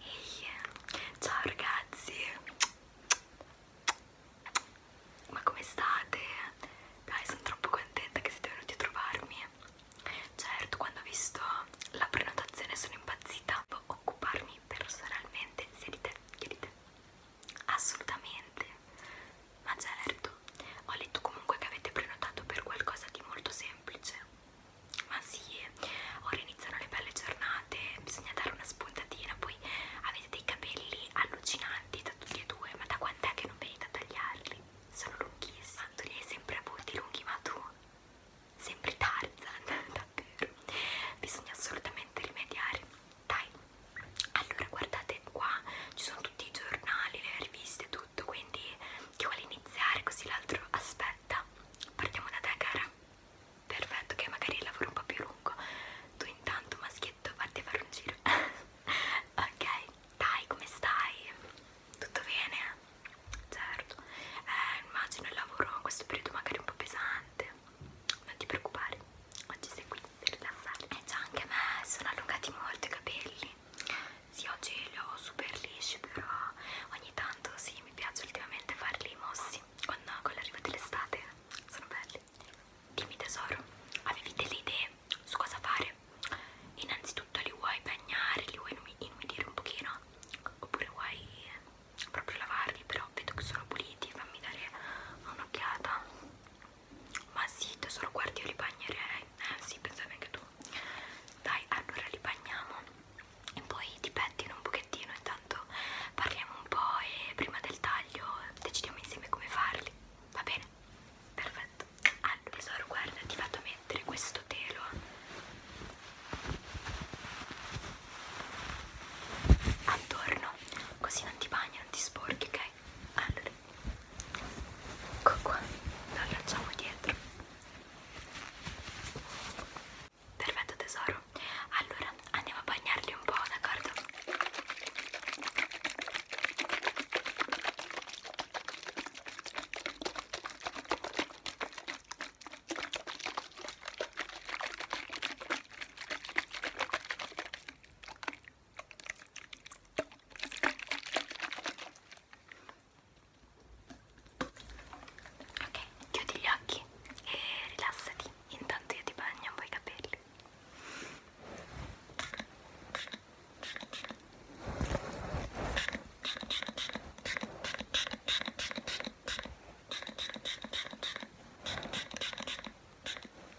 Ehi, ciao ragazzi, ma come state? Dai, sono troppo contenta che siete venuti a trovarmi. Certo, quando ho visto la prenotazione sono impazzita. Devo occuparmi personalmente sia di te che di te. Assolutamente, ma certo, ho letto comunque che avete prenotato per qualcosa di molto semplice ma sì, ora iniziano le belle giornate, bisogna dare una spuntatina, poi avete dei capelli allucinanti da tutti e due, ma da quant'è che non venite a tagliarli? Sono lunghissimi, tanto li hai sempre avuti lunghi, ma tu sempre Tarzan, davvero, bisogna assolutamente rimediare, dai, allora guardate qua, ci sono tutti i giornali, le riviste, tutto, quindi chi vuole iniziare così l'altro aspetta, partiamo da te cara perfetto che magari il lavoro un po' più lungo tu intanto maschietto vatti a fare un giro ok dai come stai? tutto bene? certo eh, immagino il lavoro in questo periodo magari un po' pesante non ti preoccupare oggi sei qui per rilassare e eh, già anche a me sono allungati molto i capelli sì oggi li ho super lisci però ogni tanto si sì, mi piace ultimamente farli mossi con, con l'arrivo dell'estate, sono belli. Dimmi tesoro, avevi delle idee su cosa fare? Innanzitutto li vuoi bagnare, li vuoi inumidire un pochino? Oppure vuoi eh, proprio lavarli, però vedo che sono puliti, fammi dare un'occhiata. Ma sì tesoro, guardi io li bagnerei, eh sì, pensavi anche tu. Dai, allora li bagniamo e poi ti pettino un pochettino intanto parliamo un po' e prima del taglio decidiamo insieme come farli va bene? perfetto allora ah, tesoro guarda ti vado a mettere questo telo attorno così non ti bagni non ti sporchi ok? allora ecco qua lo allacciamo dietro Perfetto tesoro. Allora andiamo a bagnarli un po', d'accordo? Ok, chiudi gli occhi e rilassati. Intanto io ti bagno un po' i capelli.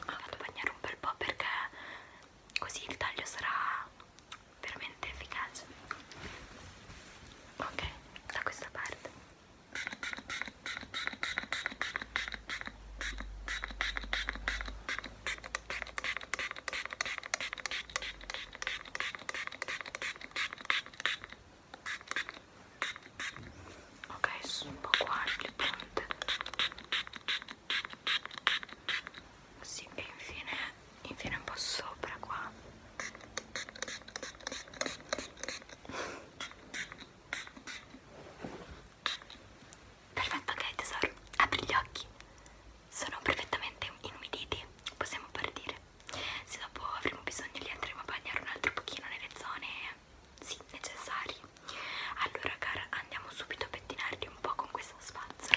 Lo vado a bagnare un bel po' perché così il taglio sarà veramente efficace ok da questa parte ok sono un po' qua le punte sì e infine infine un po' sopra qua perfetto ok tesoro apri gli occhi sono perfettamente inumiditi possiamo partire se dopo avremo bisogno li andremo a bagnare un altro pochino nelle zone sì necessarie allora cara andiamo subito a pettinarli un po' con questa spazzola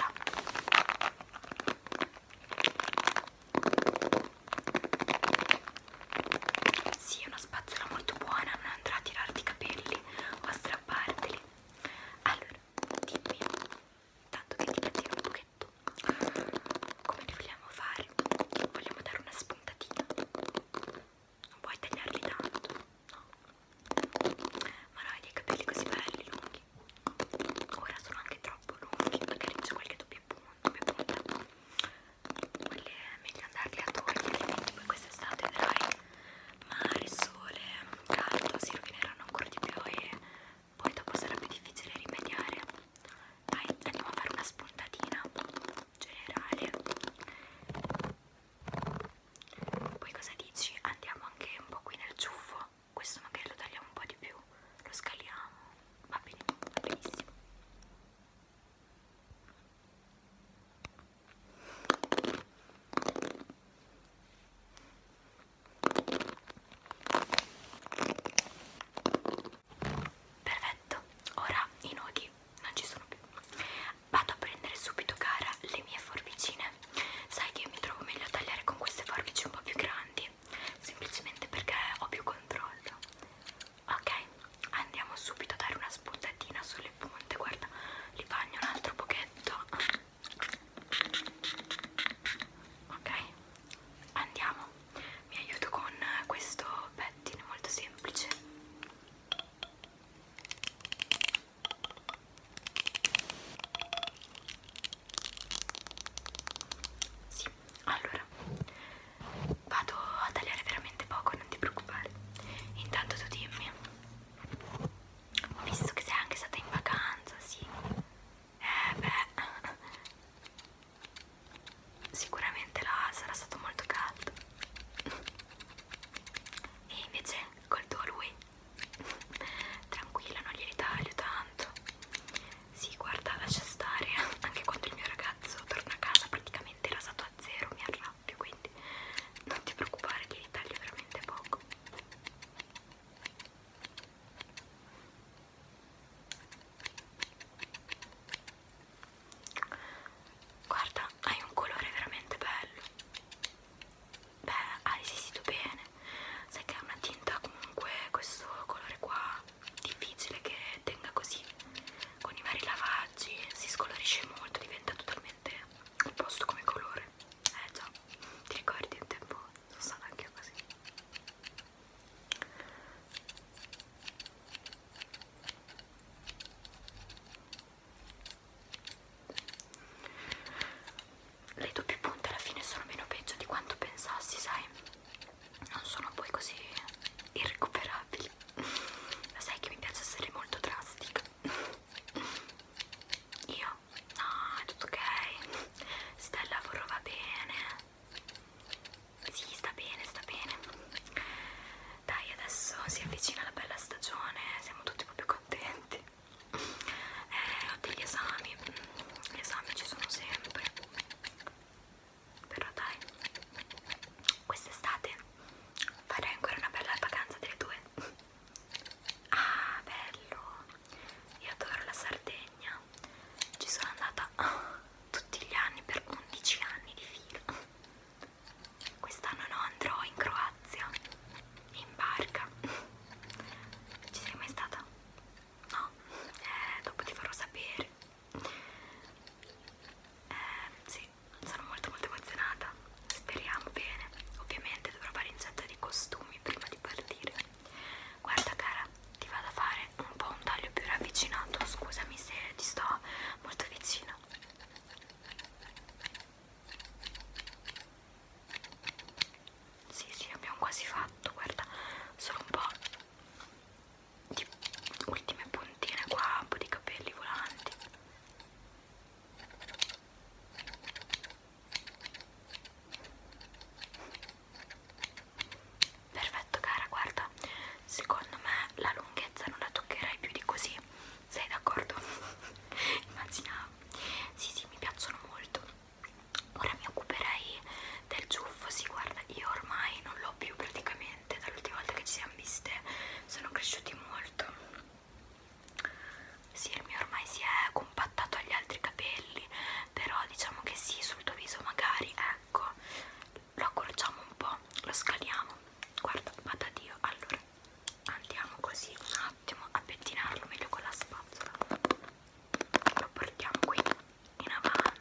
sì, è una spazzola molto buona, non andrà a tirarti i capelli o a strapparteli. Allora, dimmi, tanto che ti cattivo un pochetto, come li vogliamo fare? Vogliamo dare una spuntatina? Non puoi tagliarli tanto, no? Ma noi dei capelli così belli, lunghi ora sono anche troppo lunghi magari c'è qualche doppio punto doppia punta quelli è meglio andarli a togliere poi quest'estate vedrai mare, sole, caldo si rovineranno ancora di più e poi dopo sarà più difficile rimediare dai andiamo a fare una spuntatina generale poi cosa dici? Andiamo anche un po' qui nel ciuffo questo magari lo tagliamo un po' di più, lo scaliamo, va bene, va benissimo. Perfetto, ora i nodi non ci sono più. Vado a prendere subito, cara, le mie forbicine. Sai che mi trovo meglio a tagliare con queste forbici un po' più grandi semplicemente perché ho più controllo ok andiamo subito a dare una spuntatina sulle punte guarda li bagno un altro pochetto ok andiamo mi aiuto con questo pettine molto semplice sì, allora vado a tagliare veramente poco, non ti preoccupare. Intanto tu dimmi, visto che sei anche stata in vacanza, sì. Eh beh, sicuramente là sarà stato molto caldo. E invece col tuo lui, tranquillo, non gli ritaglio tanto. Sì, guarda, lascia stare. Anche quando il mio ragazzo torna a casa praticamente rasato a zero, mi arrabbio, quindi non ti preoccupare che li taglio veramente poco. Guarda, hai un colore veramente bello. Beh, hai resistito bene sai che è una tinta comunque questo colore qua difficile che tenga così con i vari lavaggi si scolorisce molto diventa totalmente opposto come colore eh già ti ricordi un tempo sono stata anche io così le doppie punte alla fine sono meno peggio di quanto pensassi, sai? Non sono poi così irrecuperabili. Ma sai che mi piace essere molto drastica. Io? No, è tutto ok. Sta il lavoro, va bene. Sì, sta bene, sta bene. Dai, adesso si avvicina la bella stagione, siamo tutti proprio contenti. Eh, ho degli esami, gli esami ci sono sempre però dai quest'estate farei ancora una bella vacanza delle due ah bello io adoro la Sardegna ci sono andata tutti gli anni per 11 anni di fila quest'anno no andrò in Croazia in barca ci sei mai stata? no, eh, dopo ti farò sapere eh, sì, sono molto molto emozionata speriamo bene ovviamente dovrò fare incetta di costumi prima di partire guarda cara ti vado a fare un po' un taglio più ravvicinato scusami se ti sto molto vicino sì, sì, abbiamo quasi fatto, guarda, solo un po' di ultime puntine qua, un po' di capelli volanti. Perfetto cara, guarda, secondo me la lunghezza non la toccherai più di così, sei d'accordo? Immagina, sì sì, mi piacciono molto ora mi occuperei del ciuffo si sì, guarda io ormai non l'ho più praticamente dall'ultima volta che ci siamo viste sono cresciuti molto sì il mio ormai si è compattato agli altri capelli però diciamo che sì sul tuo viso magari ecco lo accorciamo un po' lo scaliamo guarda vada dio allora andiamo così un attimo a pettinarlo meglio con la spazzola lo portiamo qui in avanti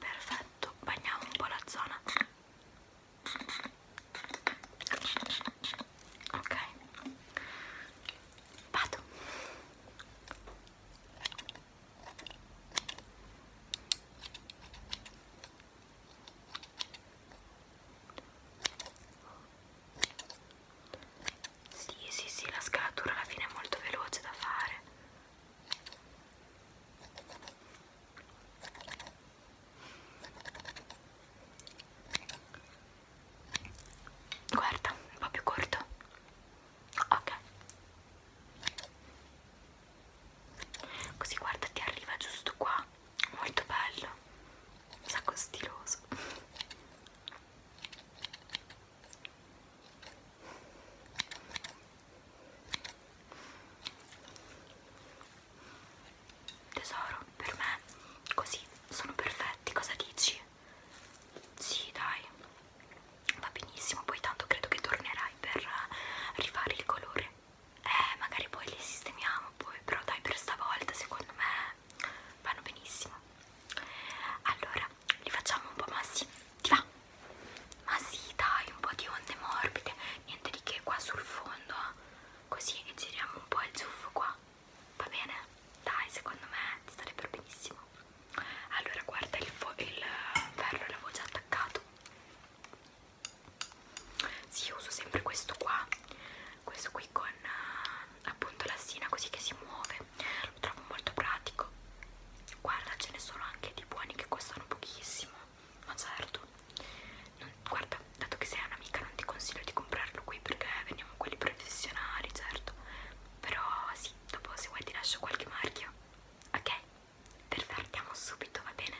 perfetto bagniamo un po' la zona ok vado ok sì, sì, sì, la scalatura alla fine è molto veloce da fare. Guarda, un po' più corto. Ok. Così guarda, ti arriva giusto qua molto bello un sacco stiloso tesoro per me così sono perfetti cosa dici? sì dai va benissimo poi tanto credo che tornerai per rifare il colore eh magari poi li sistemiamo poi però dai per stavolta secondo me vanno benissimo allora li facciamo un po' massi ti va? ma sì dai un po' di onde morbide niente di che qua sul fondo eh. così giriamo un po' il ciuffo qua va bene? dai secondo me ti starebbe benissimo allora guarda il, il ferro l'avevo già attaccato sì, uso sempre questo qua, questo qui con eh, appunto la sina così che si muove, lo trovo molto pratico. Guarda, ce ne sono anche di buoni che costano pochissimo, ma certo. Non, guarda, dato che sei un'amica non ti consiglio di comprarlo qui perché veniamo quelli professionali, certo. Però sì, dopo se vuoi ti lascio qualche marchio. Ok? Perfetto, andiamo subito, va bene?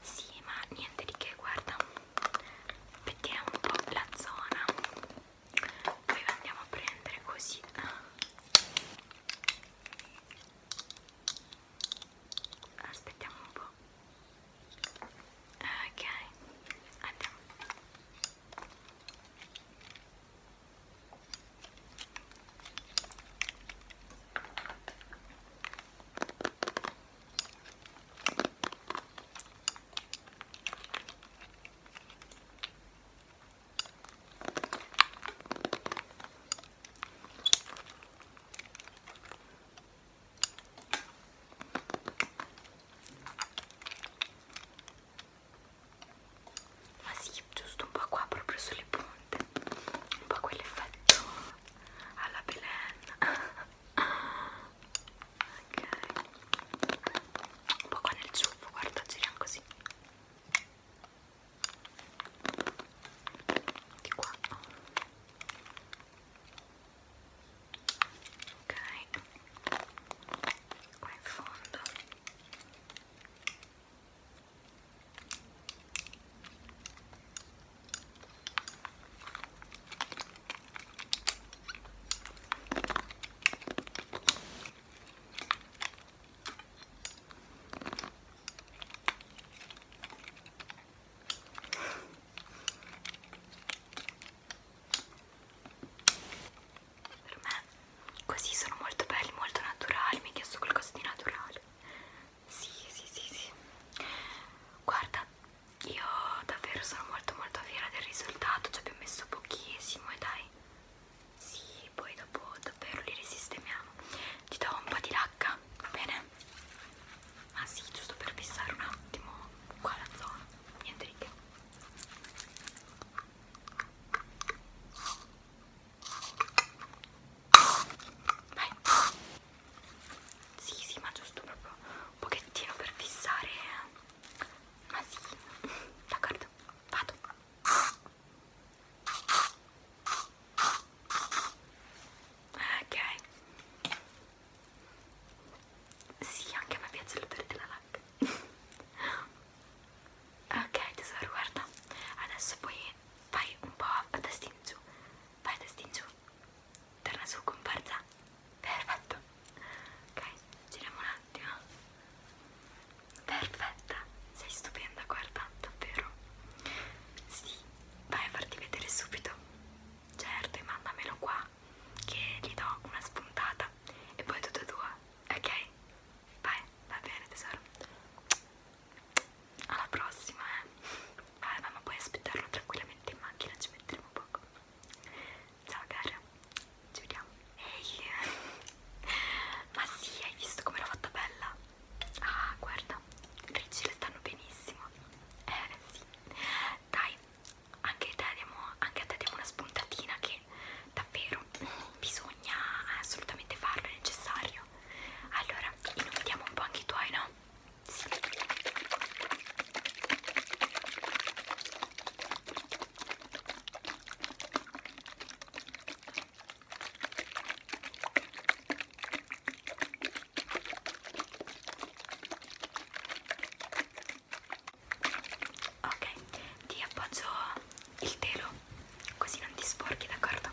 Sì, ma niente di che, guarda vediamo un po' la zona poi andiamo a prendere così aspettiamo un po' ok andiamo ok ma sì, giusto un po' qua proprio sulle punte un po' quell'effetto alla Belen ok un po' qua nel ciuffo guarda giriamo così di qua ok qua in fondo per me così sono molto belli, molto naturali, mi hai chiesto qualcosa di naturale. Sì, sì, sì, sì. Guarda, io davvero sono molto molto fiera del risultato ci abbiamo messo pochissimo e dai sì poi dopo davvero li risistemiamo ti do un po' di lacca va bene? ah sì giusto per fissare un attimo qua la zona niente di che vai sì, sì, ma giusto proprio un pochettino per fissare. Eh. Ma sì, d'accordo, vado. Ok. Sì, anche a me piace l'odore della lacca. ok, tesoro, guarda. Adesso poi fai un po' a testa in giù. Vai a testa in giù torna su comparsa perfetto ok giriamo un attimo perfetta sei stupenda guarda davvero sì vai a farti vedere subito certo e mandamelo qua che gli do una spuntata e poi tutte e due ok vai va bene tesoro alla prossima eh Alba, ma puoi aspettarlo tranquillamente in macchina, ci metteremo poco. Ciao cara, ci vediamo. Ehi, ma sì, hai visto come l'ho fatta bella? Ah, guarda, Ricci le stanno benissimo. Eh sì, dai, anche, te diamo, anche a te diamo una spuntatina che davvero bisogna assolutamente farlo, è necessario. Allora, inondiamo un po' anche i tuoi, no? Ok, ti appoggio il telo così non ti sporchi, d'accordo?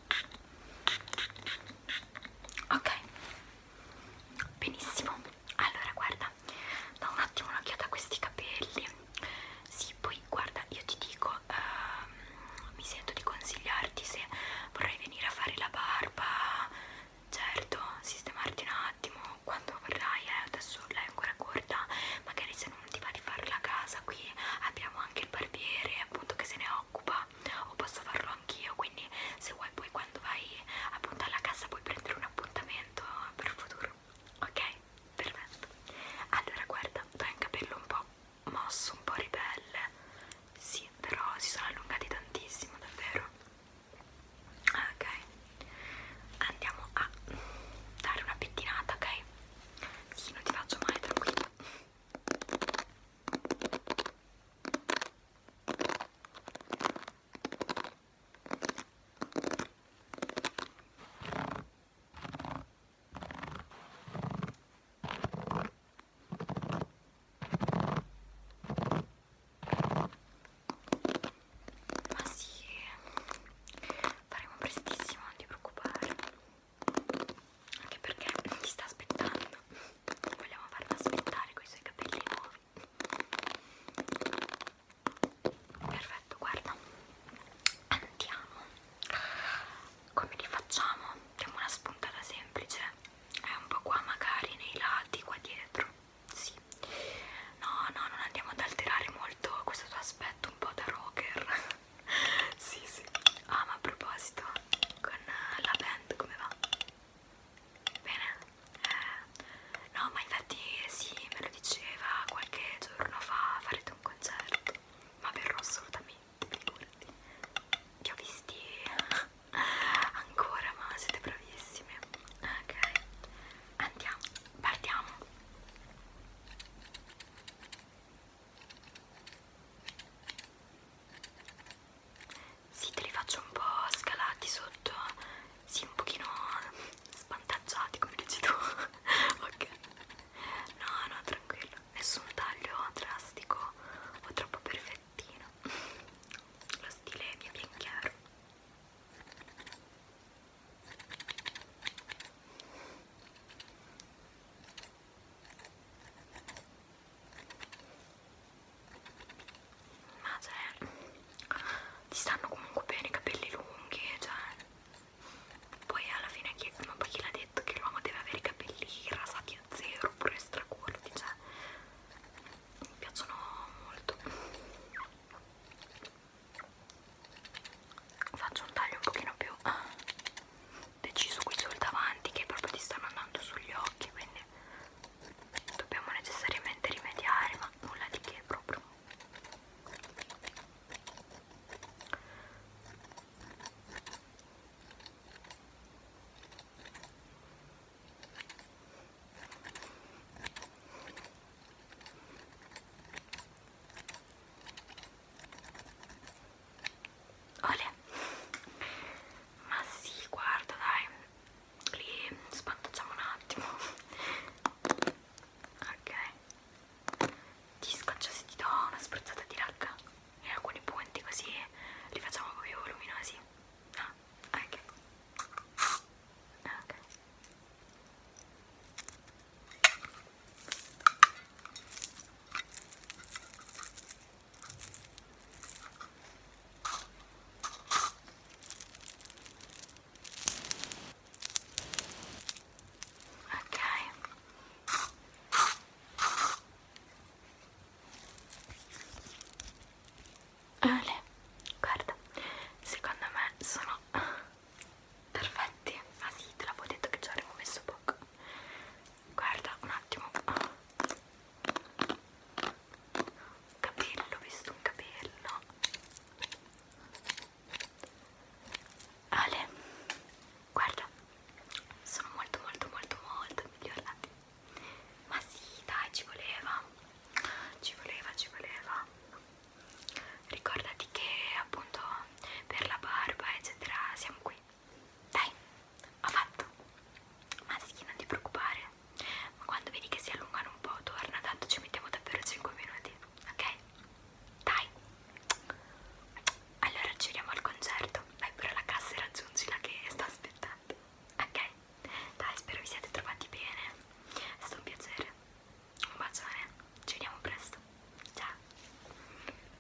ok benissimo allora guarda da un attimo un'occhiata a questi capelli sì poi guarda io ti dico uh, mi sento di consigliarti se vorrai venire a fare la barba certo sistemarti un attimo quando vorrai eh, adesso lei è ancora corta magari se non ti va di farla a casa qui abbiamo anche il barbiere appunto che se ne occupa o posso farlo anch'io quindi se vuoi poi quando vai appunto alla casa puoi prendere un appuntamento per il futuro ok? perfetto allora guarda tu hai un capello un po' mosso un po' ribelle sì però si sono allungati tantissimo davvero ok andiamo a dare una pettinata ok? sì non ti faccio male tranquillo ma sì, faremo prestissimo, non ti preoccupare anche perché ti sta aspettando vogliamo farla aspettare con i suoi capelli nuovi perfetto guarda andiamo come li facciamo? diamo una spuntata semplice è un po' qua magari nei lati qua dietro sì no no non andiamo ad alterare molto questo tuo aspetto un po' da rocker sì, sì. Ah, ma a proposito, con la band come va? Bene? Eh, no, ma infatti sì, me lo diceva qualche giorno fa, farete un concerto. Ma verrò assolutamente, figurati. Li ho visti ancora, ma siete bravissimi. Ok, andiamo, partiamo. Sì, te li faccio un po' scalati sotto, sì, un pochino svantaggiati come dici tu. ok, no, no, tranquillo, nessun taglio drastico o troppo perfettino. Lo stile mi è ben chiaro ma ah, cioè ti stanno comunque bene i capelli lunghi cioè poi alla fine chi, ma poi chi l'ha detto che l'uomo deve avere i capelli rasati a zero oppure stracurti cioè mi piacciono molto faccio un taglio un pochino più deciso qui sul davanti che proprio ti stanno andando sugli occhi quindi dobbiamo necessariamente rimediare ma nulla di che proprio Olè. Ma sì, guarda, dai. Li spantacciamo un attimo. Ok. Ti scoccia se ti do una spruzzata di racca in alcuni punti così li facciamo più luminosi. Ah, ok. Ok. Ok. Ale, guarda, secondo me sono perfetti. Ah sì, te l'avevo detto che ci avremmo messo poco guarda un attimo capello ho visto un capello Ale guarda sono molto molto molto molto migliorati ma sì dai ci voleva ci voleva ci voleva ricordati che appunto per la barba eccetera siamo qui dai, ho fatto. Ma sì, non ti preoccupare. Ma quando vedi che si allungano un po', torna, tanto ci mettiamo davvero 5 minuti, ok? Dai. Allora ci vediamo al concerto. Vai pure alla cassa e raggiungila che sta aspettando. Ok? Dai, spero vi siate trovati bene. È stato un piacere. Un bacione. Ci vediamo presto. Ciao.